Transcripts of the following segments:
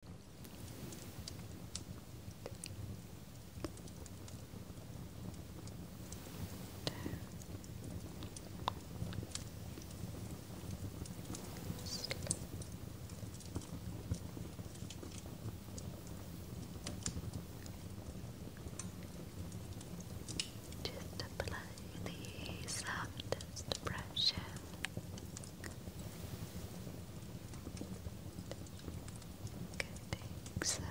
Just apply the softest pressure I think so. Uh,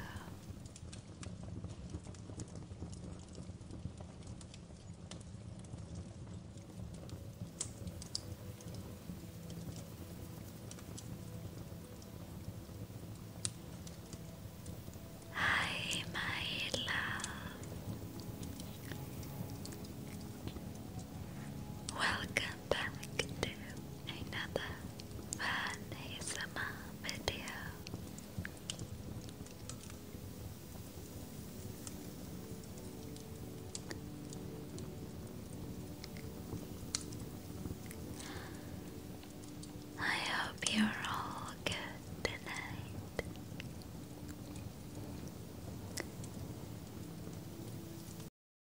Hi, my love. Welcome back to another fun video. I hope you're all good tonight.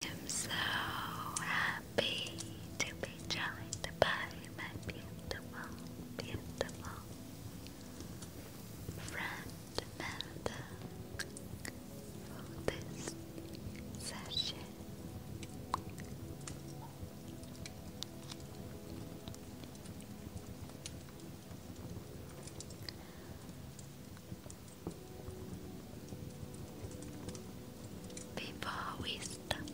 I'm so happy to be joined by my beautiful, beautiful friend Melda for this session. Before we start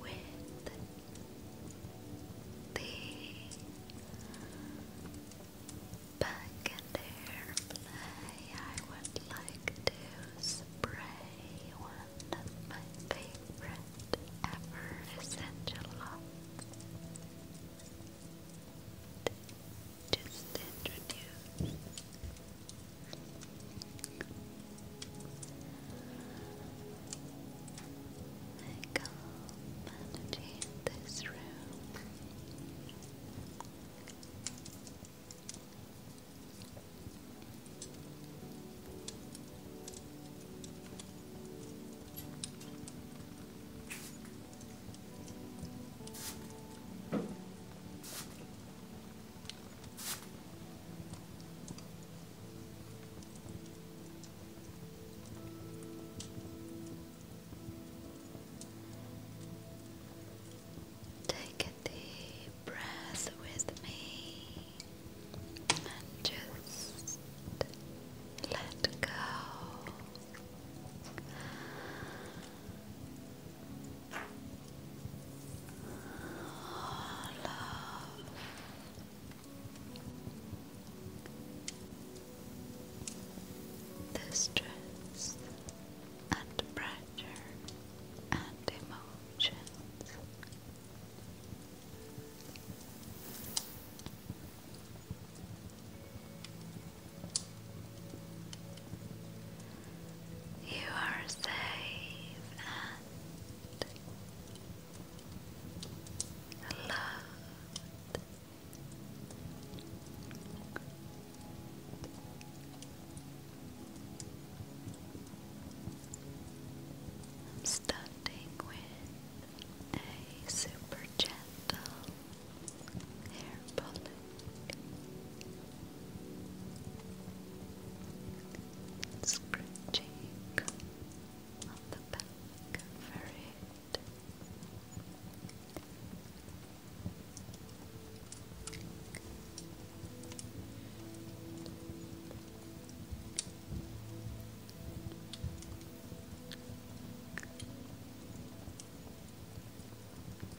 with the back and airplay, I would like to spray one my favorite ever essential oils just introduce. I energy in this room. Take a deep breath with me and just let go love. The stress and pressure and emotions. You are safe and loved. I'm starting with a super gentle hair pollen. Scratching on the back of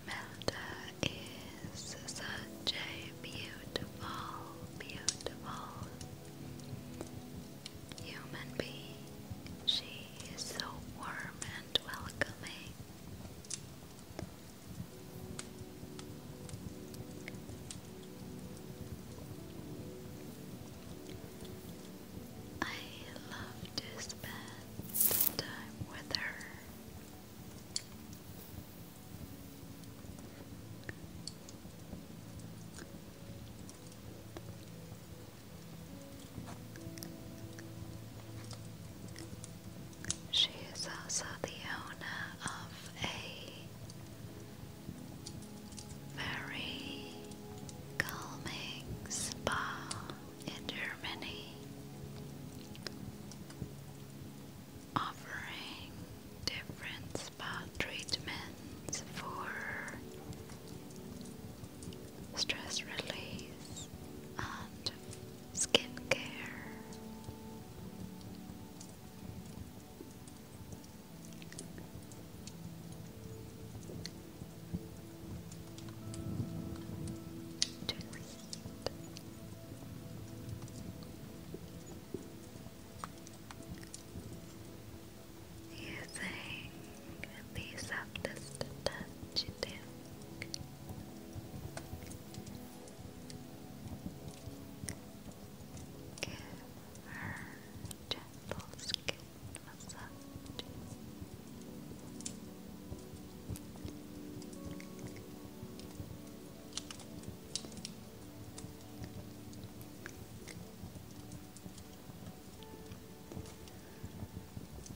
Melda is such a beautiful, beautiful human being. She is so warm and welcoming. I love this bed time with her. She is also the owner of a very calming spa in Germany offering different spa treatments for stress release and skin care. Using the touch you Give her gentle skin massage.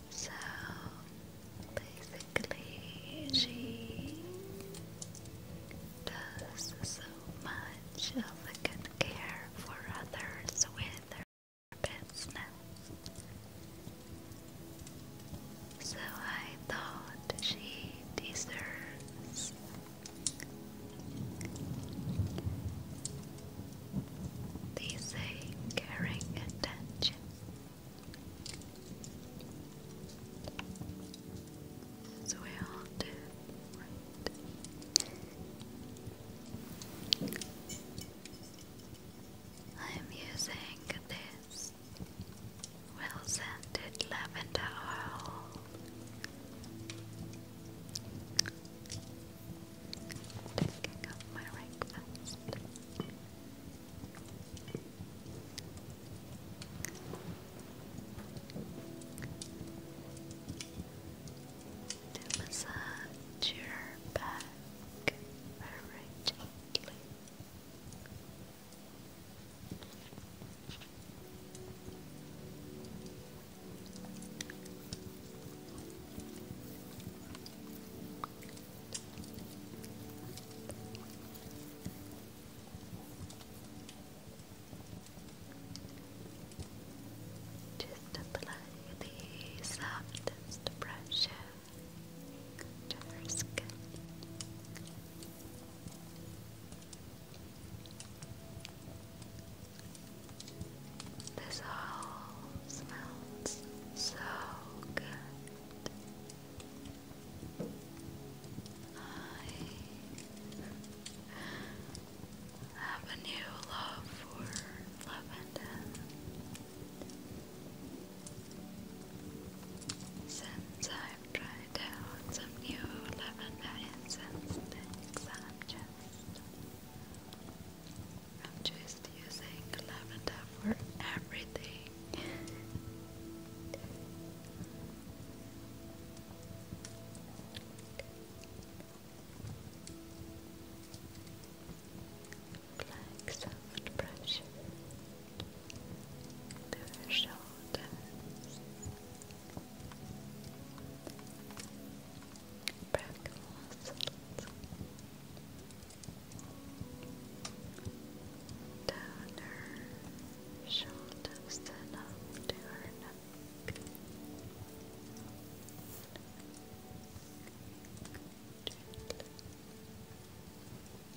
So basically, she does so much of a good care for others with so I thought she deserves the caring attention. So we all I'm using this well scented lavender oil. Taking up my rank fast. To massage your back very gently. Just apply the softest brushes to her This all smells so good. I have a new love for lavender. Since I've tried out some new lavender incense I'm just using lavender for everything. Black soft pressure to her shoulders, back muscles, down her shoulders and up to her neck. Gently.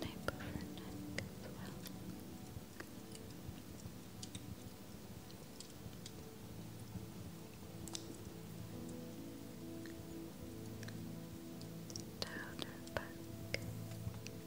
Nape of neck as well. Down her back.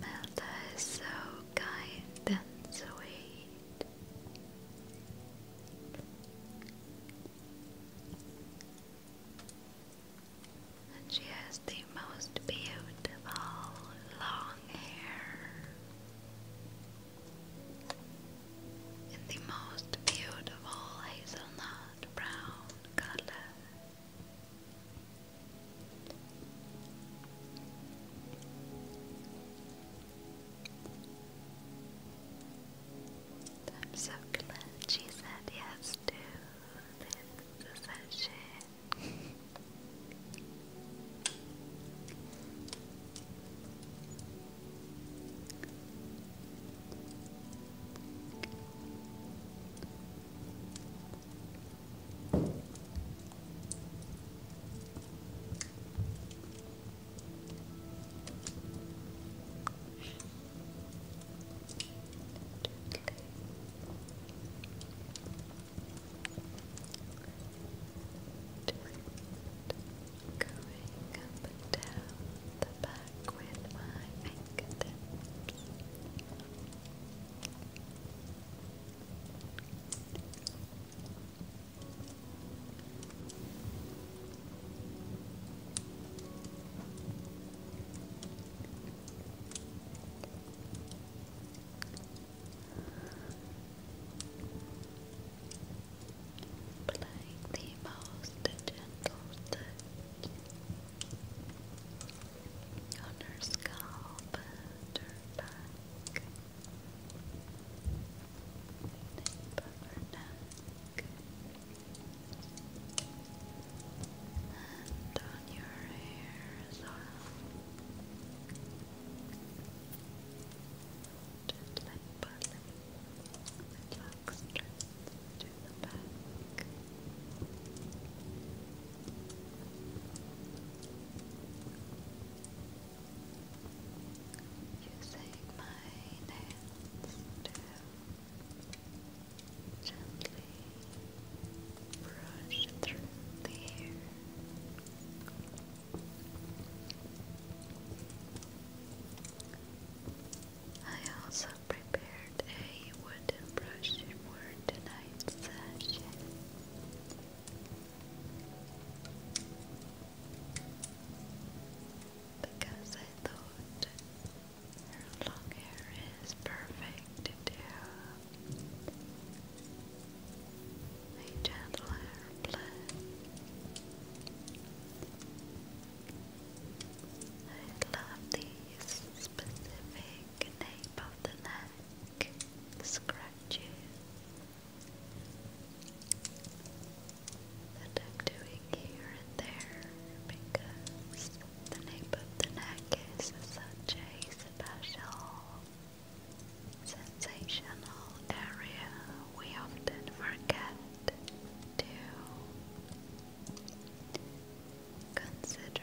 Melda is so kind and sweet. And she has the most beautiful long hair and the most beautiful hazelnut brown color. I'm so glad she said yes to this session. Going up and down the back with my fingertips. Applying the most gentle touch on her scalp her back. Nape of and on your hair as well. Gently pulling the clock strands to the back. Gently using my nails to gently brush through the hair. I also prepared a wooden brush for tonight's session. Because I thought her long hair is perfect to do a gentle hair I love the specific nape of the neck, scratches that I'm doing here and there because the nape of the neck is such a special, sensational area we often forget to consider.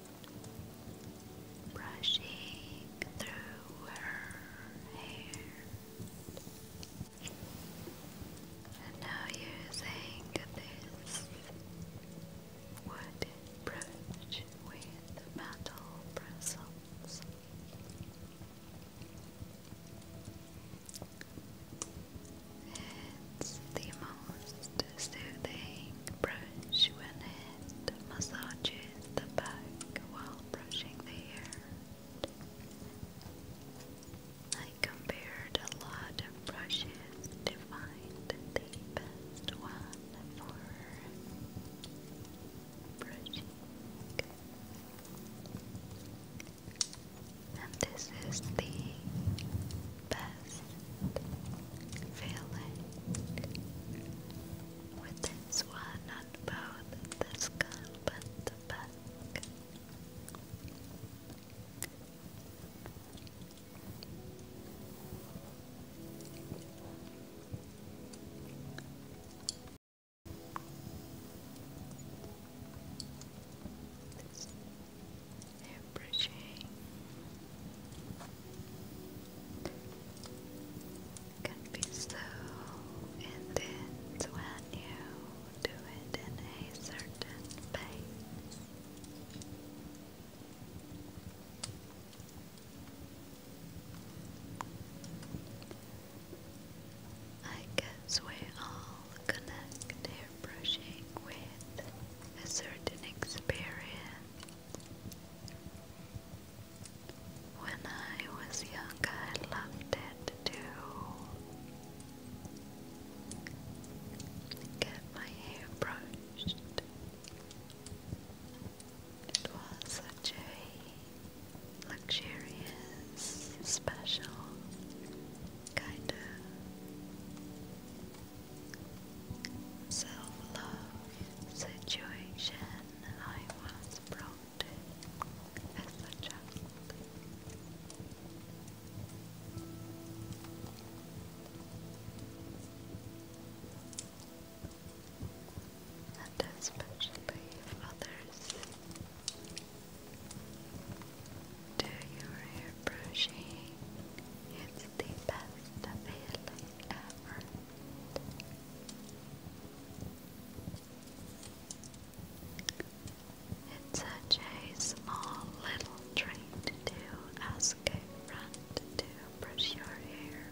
brushing through her hair. And now using this wooden brush with metal bristles. It's the most soothing brush when it massages the back while brushing the hair. I compared a lot of brushes to find the best one for brushing. And this is the best best feeling with this one, not both the skull but the back. they can be so intense when you do it in a certain pace. I guess we are all connected, brushing with a certain experience when I was young, I loved it to get my hair brushed. It was such a luxurious, special kind of self-love situation I was brought as a child. And especially if others do your hair it's the best available. It's such a small little treat to ask a friend to brush your hair.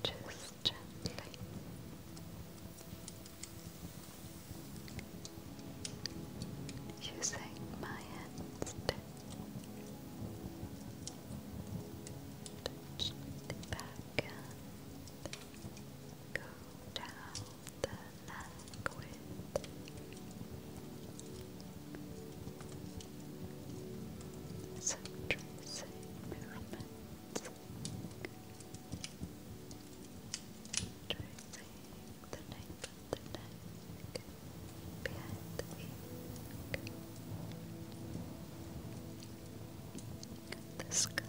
Just gently. Using my hands to touch the back and go down the liquid. Some movements. Tracing the nape the neck, behind the ear, the scalp.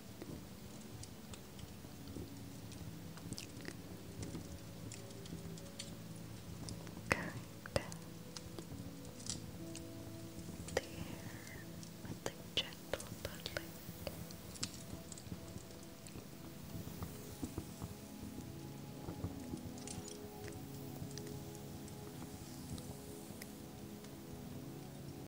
Kind of with the gentle puddling.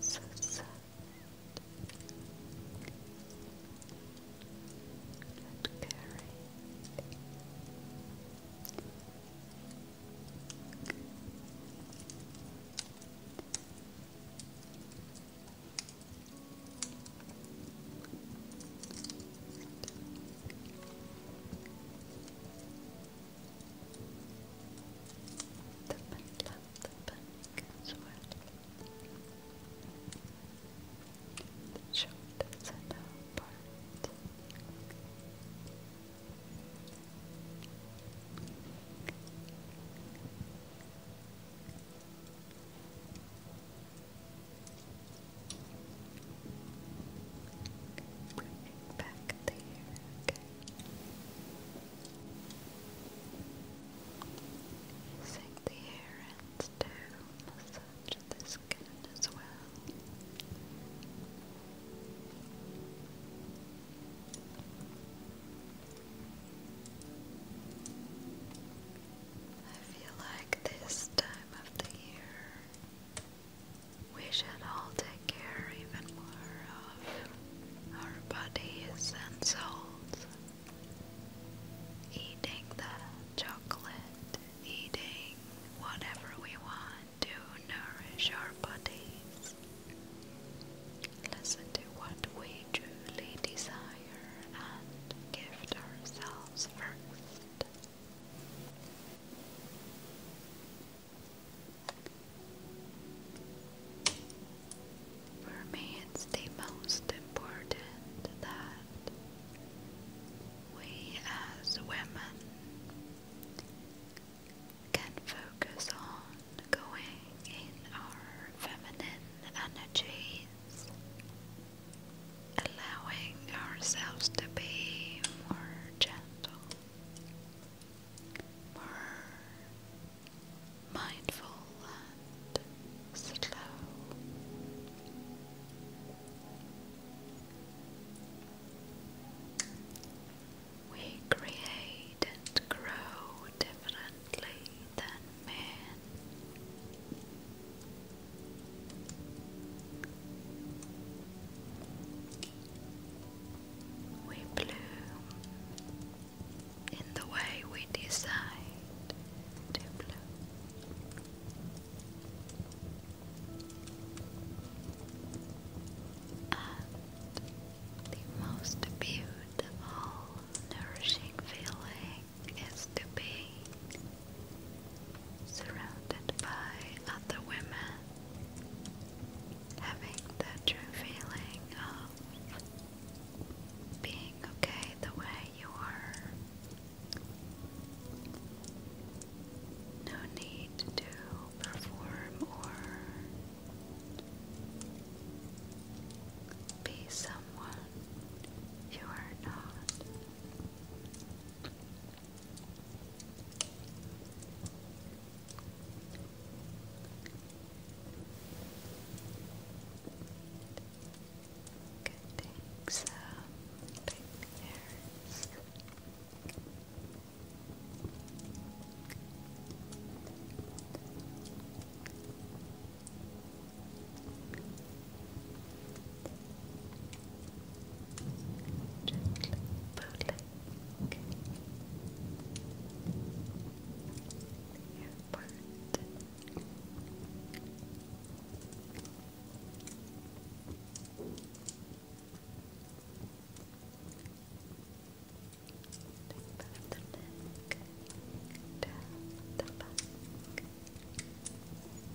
So sad. And caring. Thank the panic the panic as well. The shoulders are now Bring it back there, okay. the hair ends to massage the skin as well. I feel like this time of the year we should all take care even more of our bodies and souls. Eating the chocolate, eating whatever we want to nourish our bodies. Listen to what we truly desire and gift ourselves first. For me, it's the most important that we as women can focus on going in our feminine energies allowing ourselves to be more gentle, more mindful and slow. We create and grow differently than men. We bloom in the way we decide to bloom. And the most beautiful, nourishing feeling is to be surrounded by other women, having the true feeling of being okay the way you are. No need to perform or be someone you are not. Could take some pictures. Gently pulling your part. Think of the neck, down Down the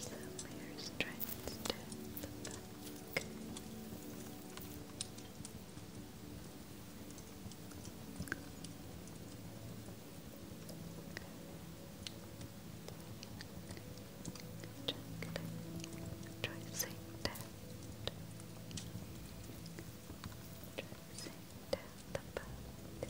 So my hair trying to the back. Just tracing that. the back.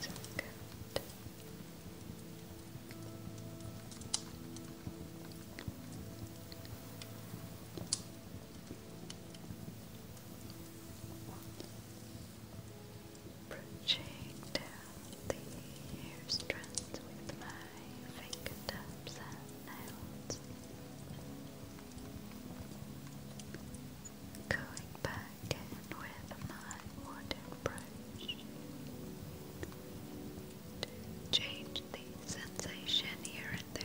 So good. Brushing down the hair strands with my fingertips and nails. Going back again with my wooden brush change the sensation here and there.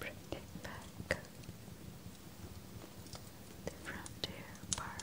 Bring it back the frontier part.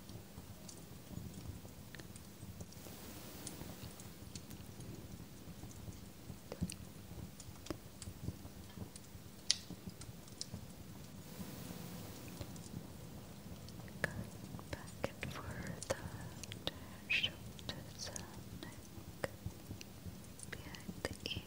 Going back and forth on shoulders behind the ears.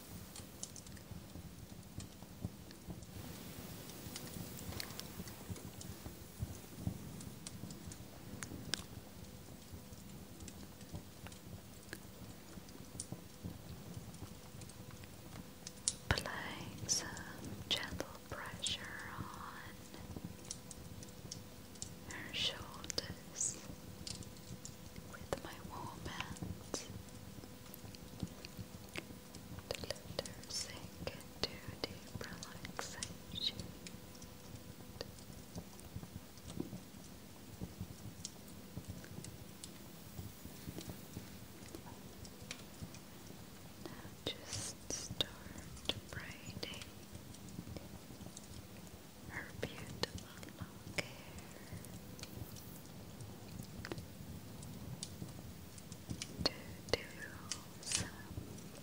Applying some gentle pressure on her shoulders with my warm hands. The letter into deep relaxation. Now just start braiding her beautiful long to do some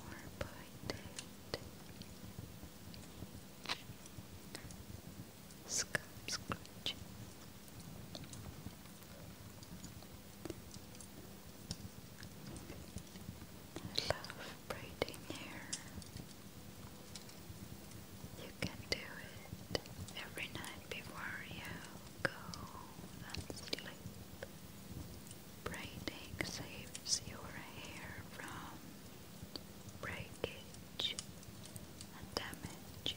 more pointed scum love braiding hair. You can do it every night before you go and sleep. Braiding saves your hair from breakage and damage.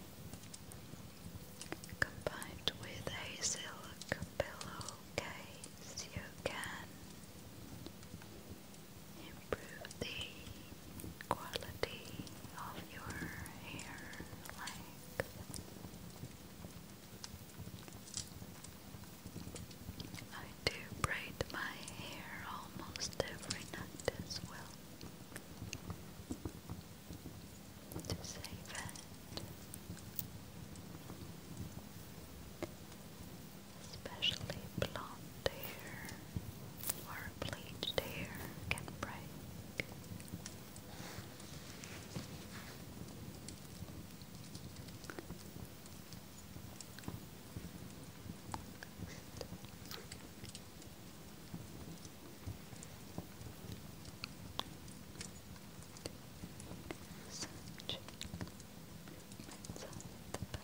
Combined with a silk pillowcase, you can improve the quality of your hair length. I do braid my hair almost every night as well to save it. Especially blonde hair or bleached hair can break. Search inside the bag.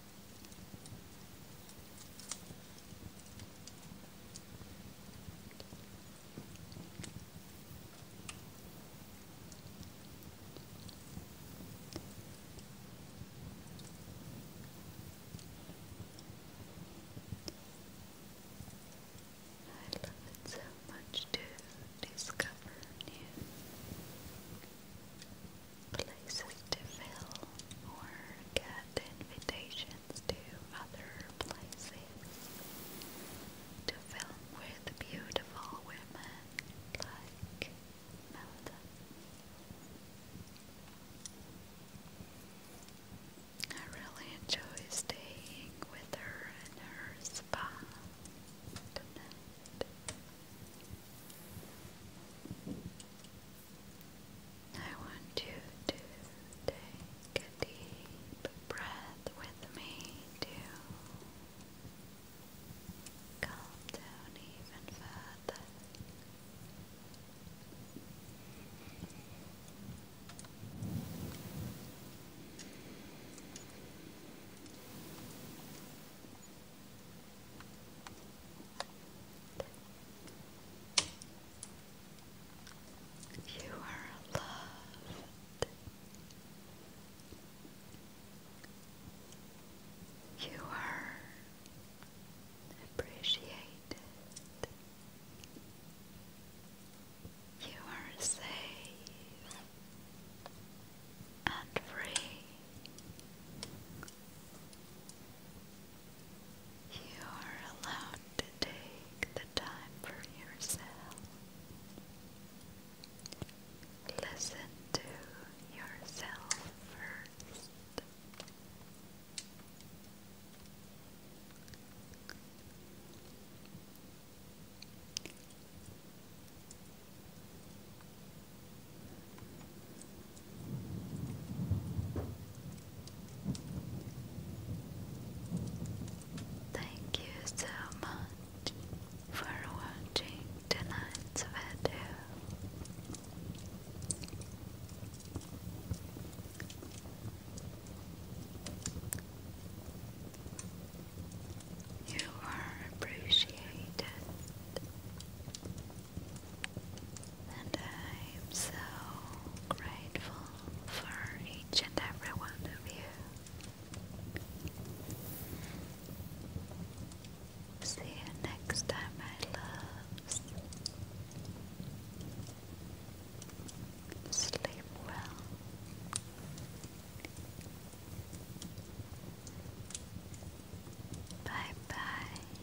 I love it so much to discover new places to fill or get invitations to other places to film with beautiful women like Melda. I really enjoy staying with her in her spa I want you to take deep breath with me to calm down even further. You are loved. You are appreciated. You are safe and free. You are allowed to take the time for yourself. Listen to yourself first. Thank you so much for watching tonight's video. You are appreciated and I'm so grateful for each and every one of you. See you next time, my loves. Sleep well. Bye bye.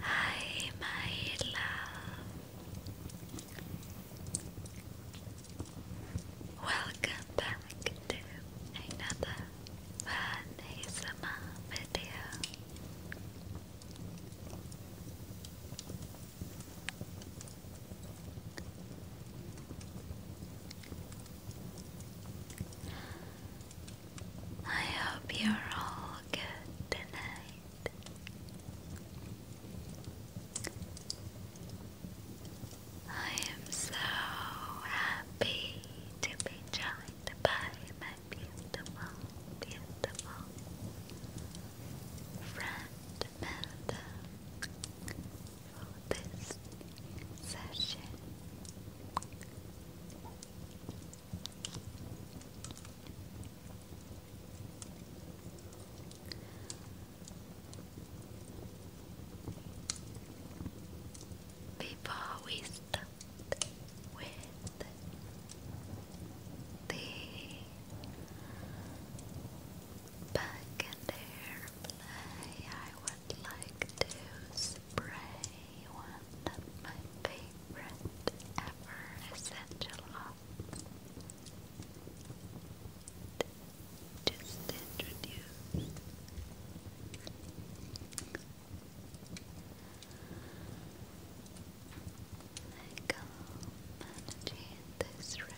Hi, my love. Welcome back to another fun video. I hope you're all good tonight. I am so happy to be joined by my beautiful, beautiful friend Melda for this session. Before we start with the Back in airplay, I would like to spray one of my favorite ever essential Just introduce. I come and in this room.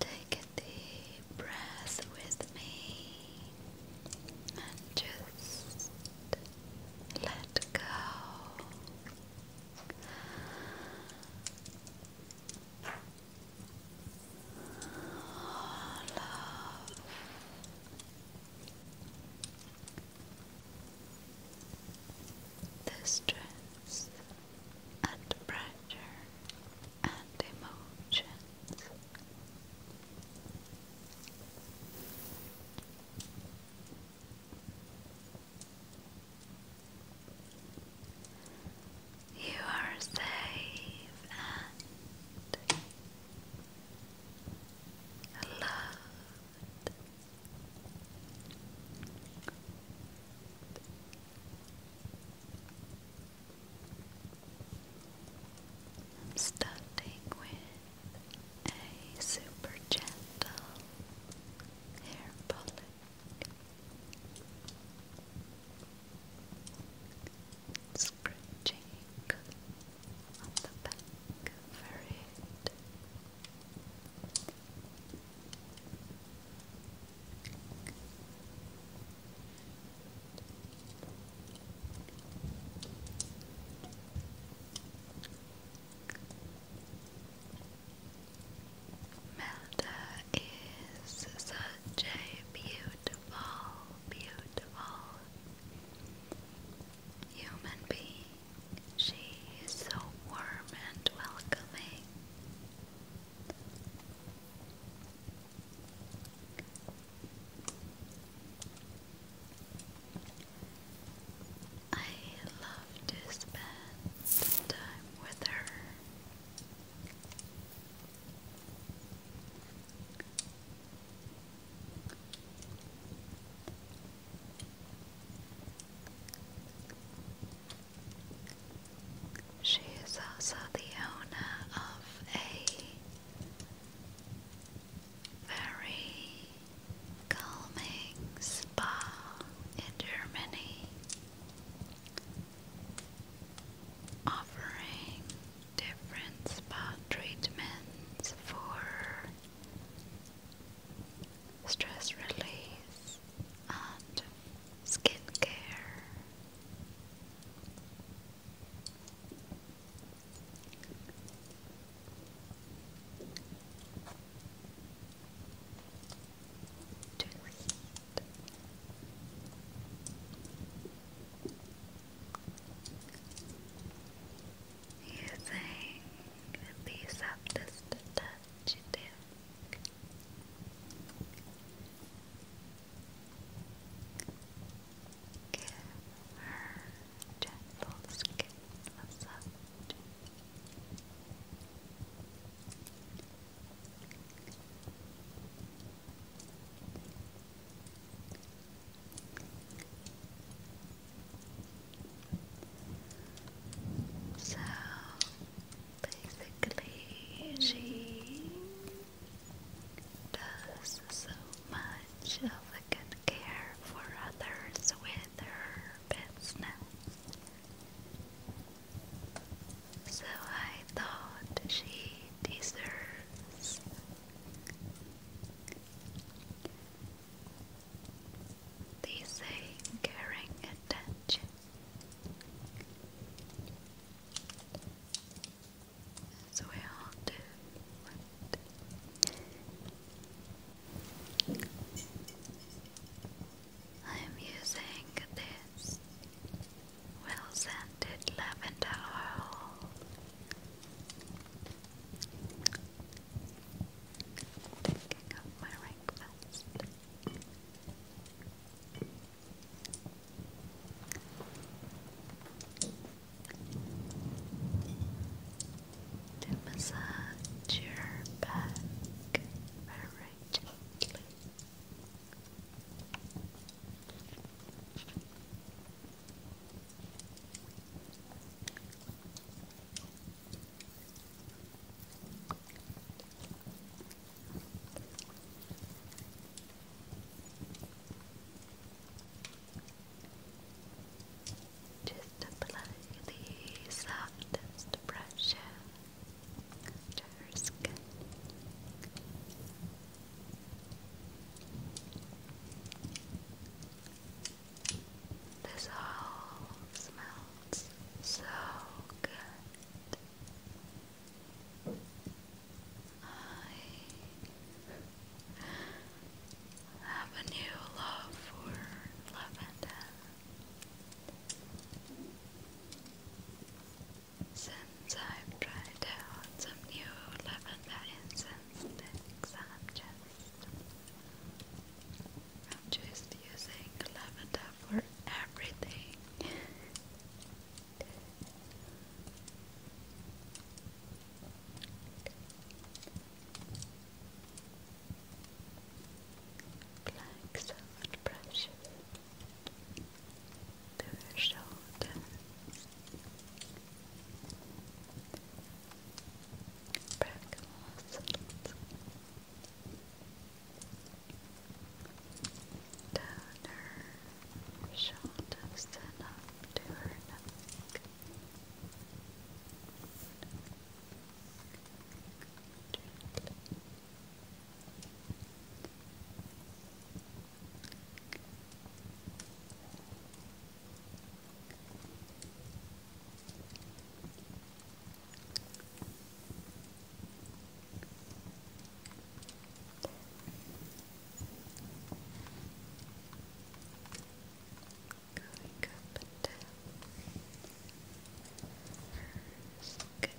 Take a deep breath with me and just let go. All the stress and pressure and emotions. You are safe and loved. I'm starting with a super gentle hair bullet. Scratching the back of Meta is such a beautiful, beautiful human being. She is so warm and welcoming. I love to spend time with her. She is also the owner of a very calming spa in Germany, offering different spa treatments for stress release, and skin care. using the softest touch you Give her gentle skin massage. So Basically, she does so much of a good care for others with her pets So I thought she deserves the same caring attention so I am using this well scented lavender oil taking up my ring first to massage your back very gently. Just apply the softest pressure to her skin. This all smells so good. I have a new love for lavender since I've tried out some new lavender incense sticks. I'm just using lavender for everything. Applying so pressure to her shoulder. Back muscles. Down her shoulders up to her neck. Going up and down. First, good. Good.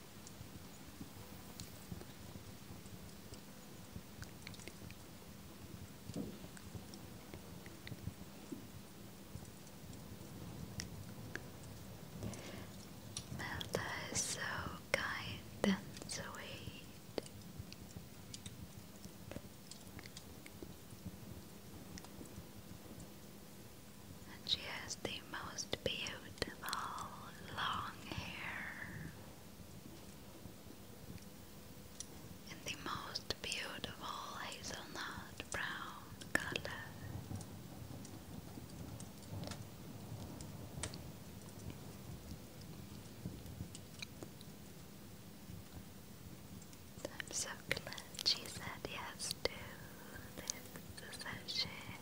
Melda is so kind and sweet. And she has the most beautiful beautiful long hair in the most beautiful hazelnut brown color. I'm so glad she said yes to this session.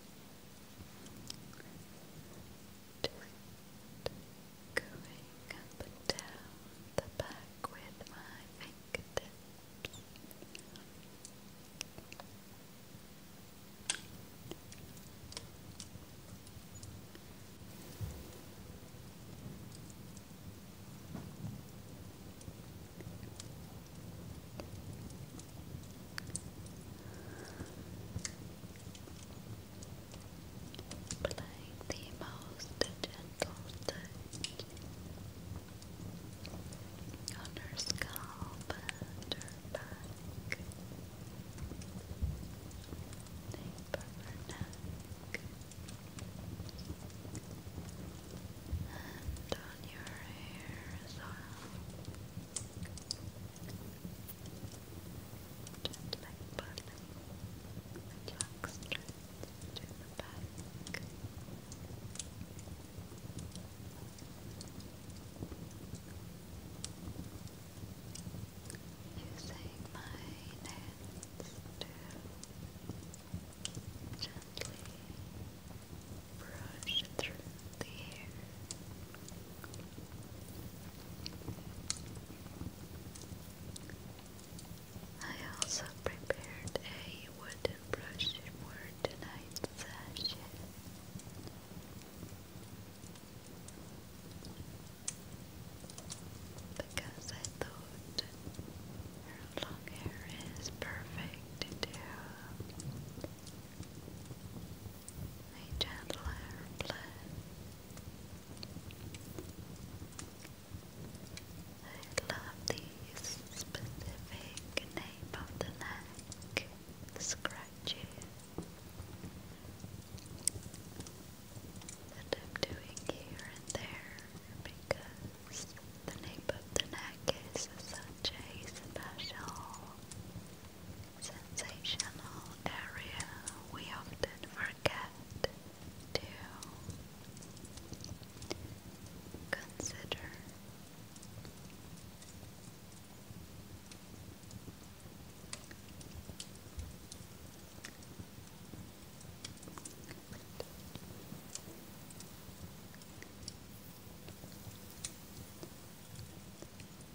Just going up and down the back with my fingertips. Applying the most gentle touch on her scalp her back, neck, and on your hair as well. Just like Bartley, the clock strikes to the Using my nails to gently brush through the hair. I also prepared a wooden brush for tonight's session. Because I thought her long hair is perfect to a gentler play. I love the specific nape of the neck, the that I'm doing here and there because the nape of the neck is such a special sensational area we often forget to consider.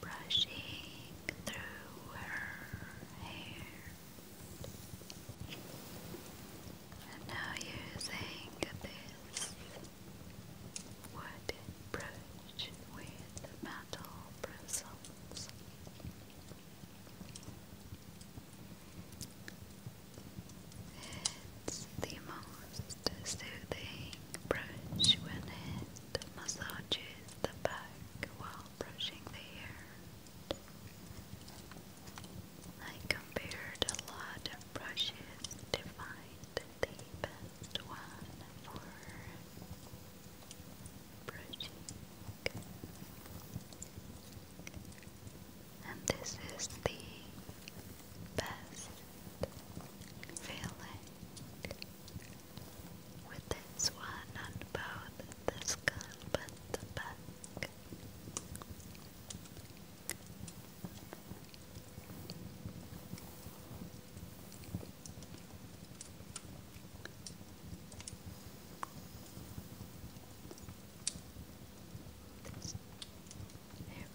Brushing through her hair, and now using this wood brooch with metal bristles. It's the most soothing brush when it massages the back while brushing the hair. I compared a lot of brushes to find the the best one for brushing. And this is the best feeling with this one on both the skull and the back.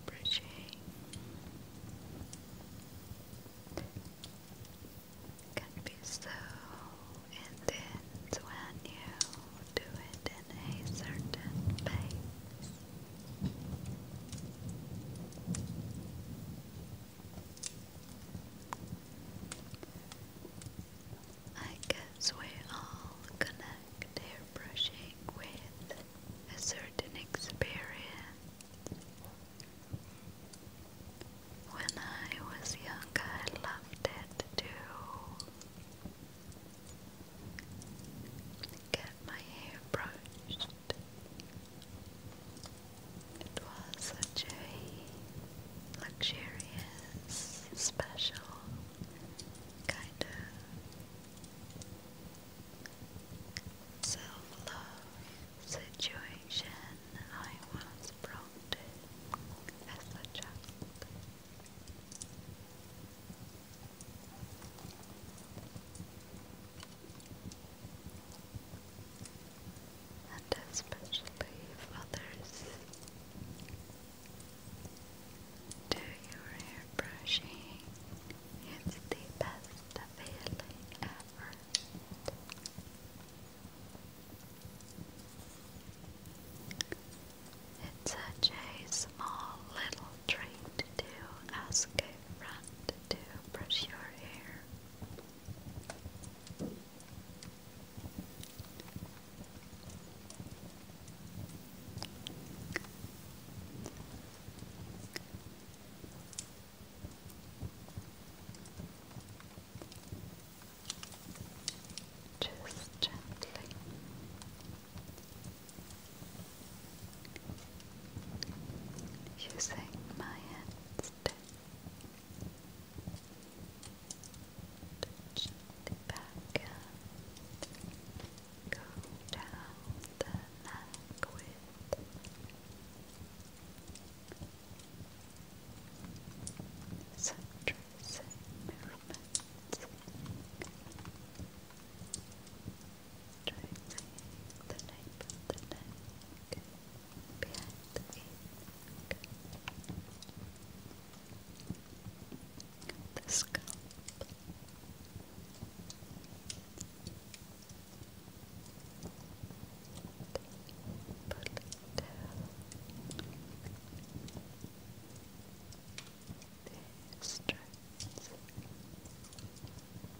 Everything. Can be so, intense when you do it in a certain place. I guess we all connect hair brushing with a certain experience. When I was young, I loved it too. get my hair brushed. It was such a luxurious, special kind of self-love situation I was brought as a child and especially if others do your hair brushing, it's the best feeling ever. It's such a small little treat to ask a friend to brush your hair. Just gently using my hands to touch the back and go down the neck with some tracing Drawing the neck, the neck, the neck, behind the neck, the scalp. Put it down. These strands. Kind. There.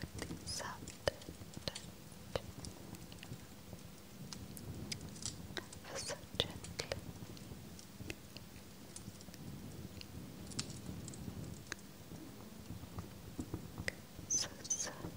with the soft so gently so soft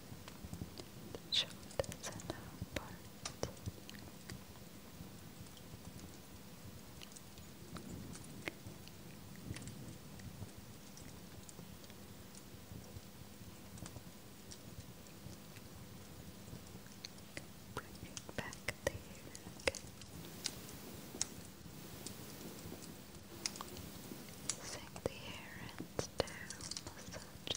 the shoulders and Bring back there, okay. Sink the hair and down, I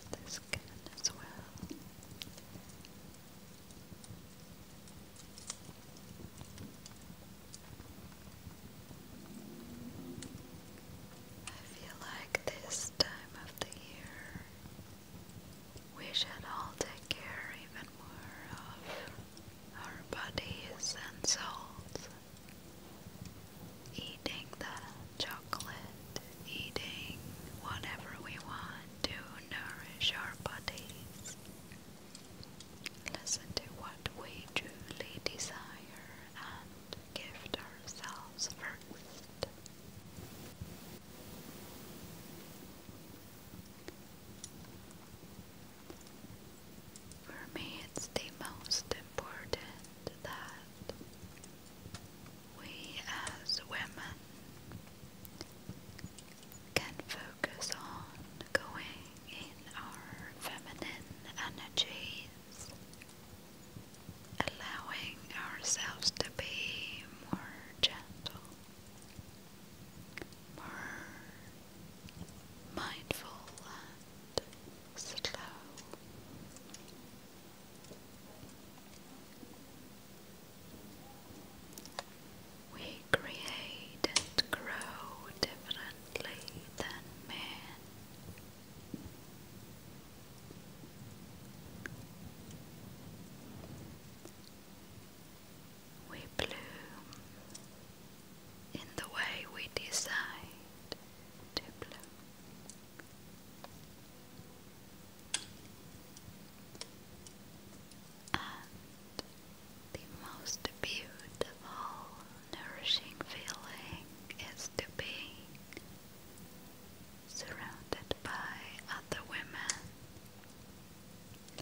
feel like this time of the year we should all take care even more of our bodies and souls eating the chocolate, eating whatever we want to nourish our bodies. Listen to what we truly desire and gift ourselves first. For me, it's the most important that we as women can focus on going in our feminine energies, allowing ourselves to be more gentle, more mindful and slow. We create and grow differently than men. We bloom in the way we decide to bloom. And the most beautiful, nourishing feeling is to be surrounded by other women,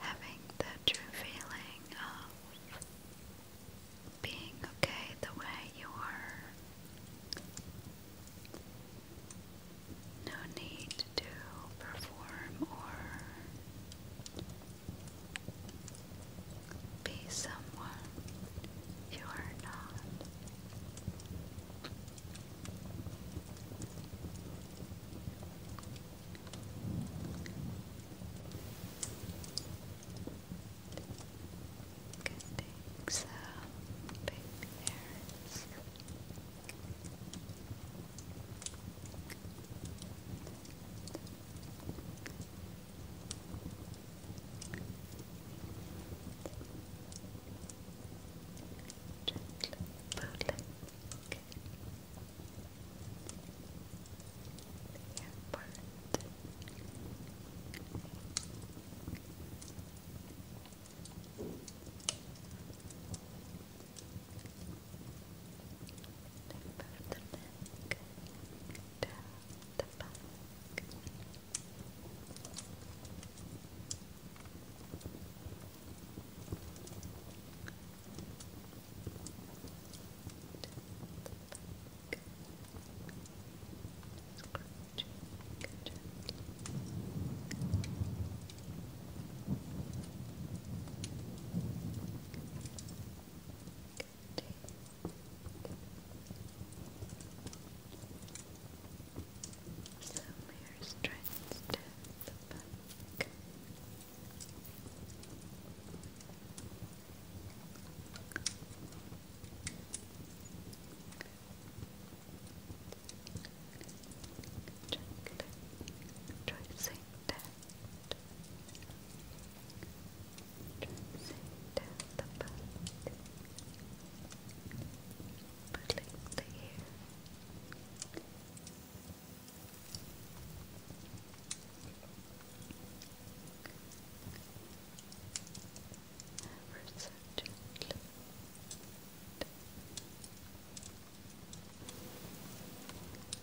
having the true feeling of being okay the way you are. No need to perform or be someone you are not can take some pictures. Gently pulling the airport the neck down the back. Down the back. Down Samir's trying to stab back. Gently tracing that, tracing the body, pulling the hair ever so gently.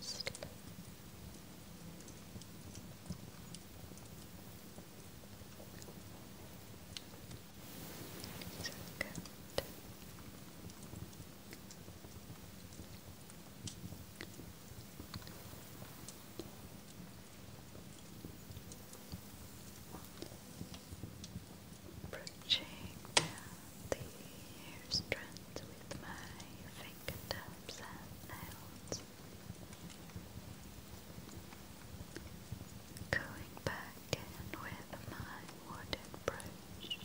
Sleep. So Approaching down the strands with my fingertips and nails. Going back in with my wooden brush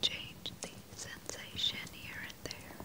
change the sensation here and there.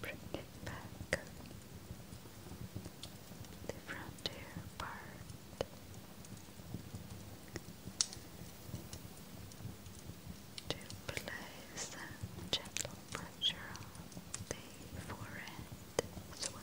Bring it back the frontier part. To place some gentle pressure on the forehead as well.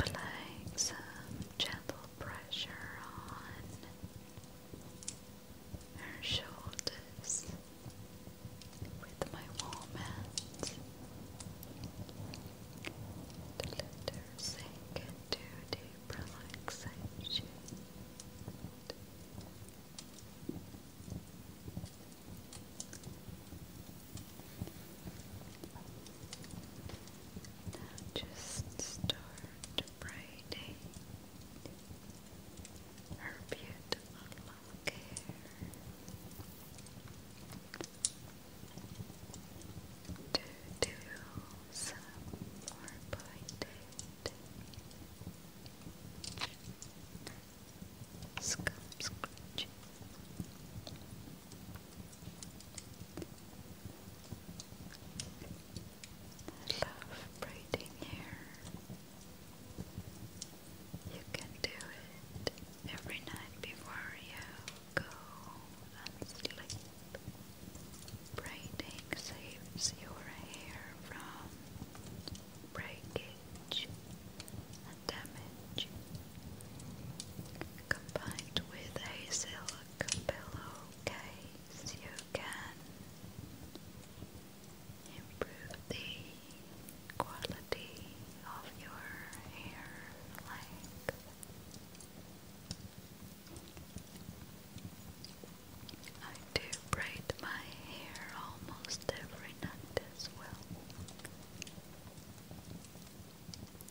Applying some gentle pressure on her shoulders with my warm hands to let her sink into deep relaxation. Now just start braiding her beautiful hair to do some more pointed Scum scratching. I love braiding hair. You can do it every night before you go and sleep. Braiding saves your hair from breakage, and damage, combined with a silk pillowcase, you can improve the quality of your hair I do braid my hair almost every night as well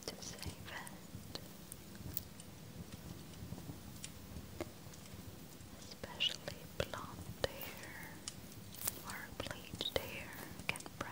to save it, especially blonde hair or bleached hair can break.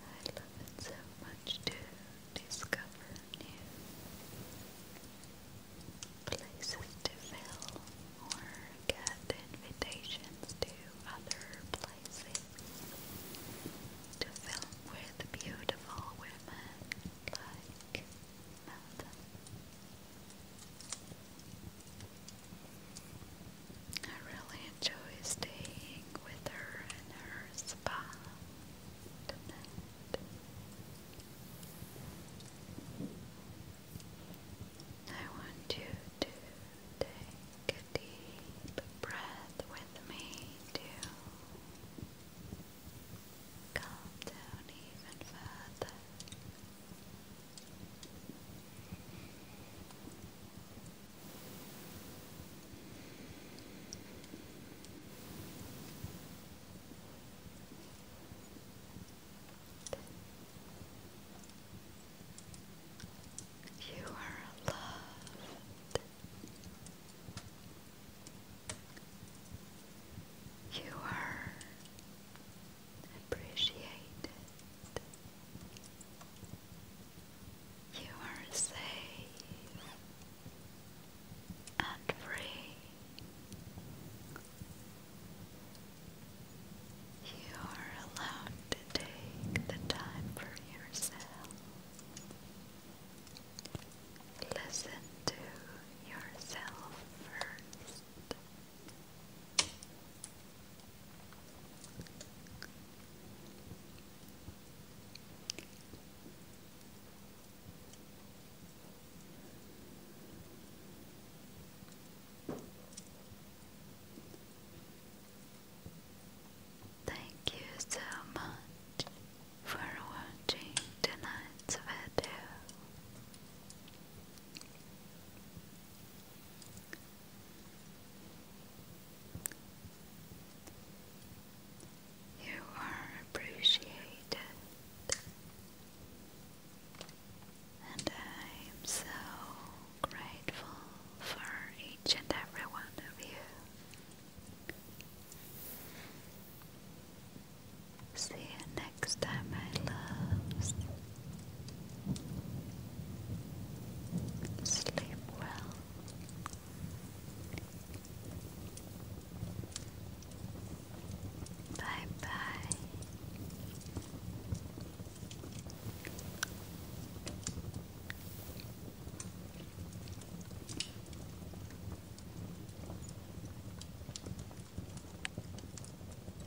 I love it so much to discover new places to fill or get invitations to other places to film with beautiful women like Melton. I really enjoy staying with her in her spa I want you to take deep breath with me to calm down even further. You are loved. You are Appreciate it. You are safe and free. You are allowed to take the time for yourself. Listen to yourself first. Thank you so much for watching tonight's video. You are appreciated, and I am so grateful for each and every one of you. See you next time, my loves. Sleep well. Bye bye.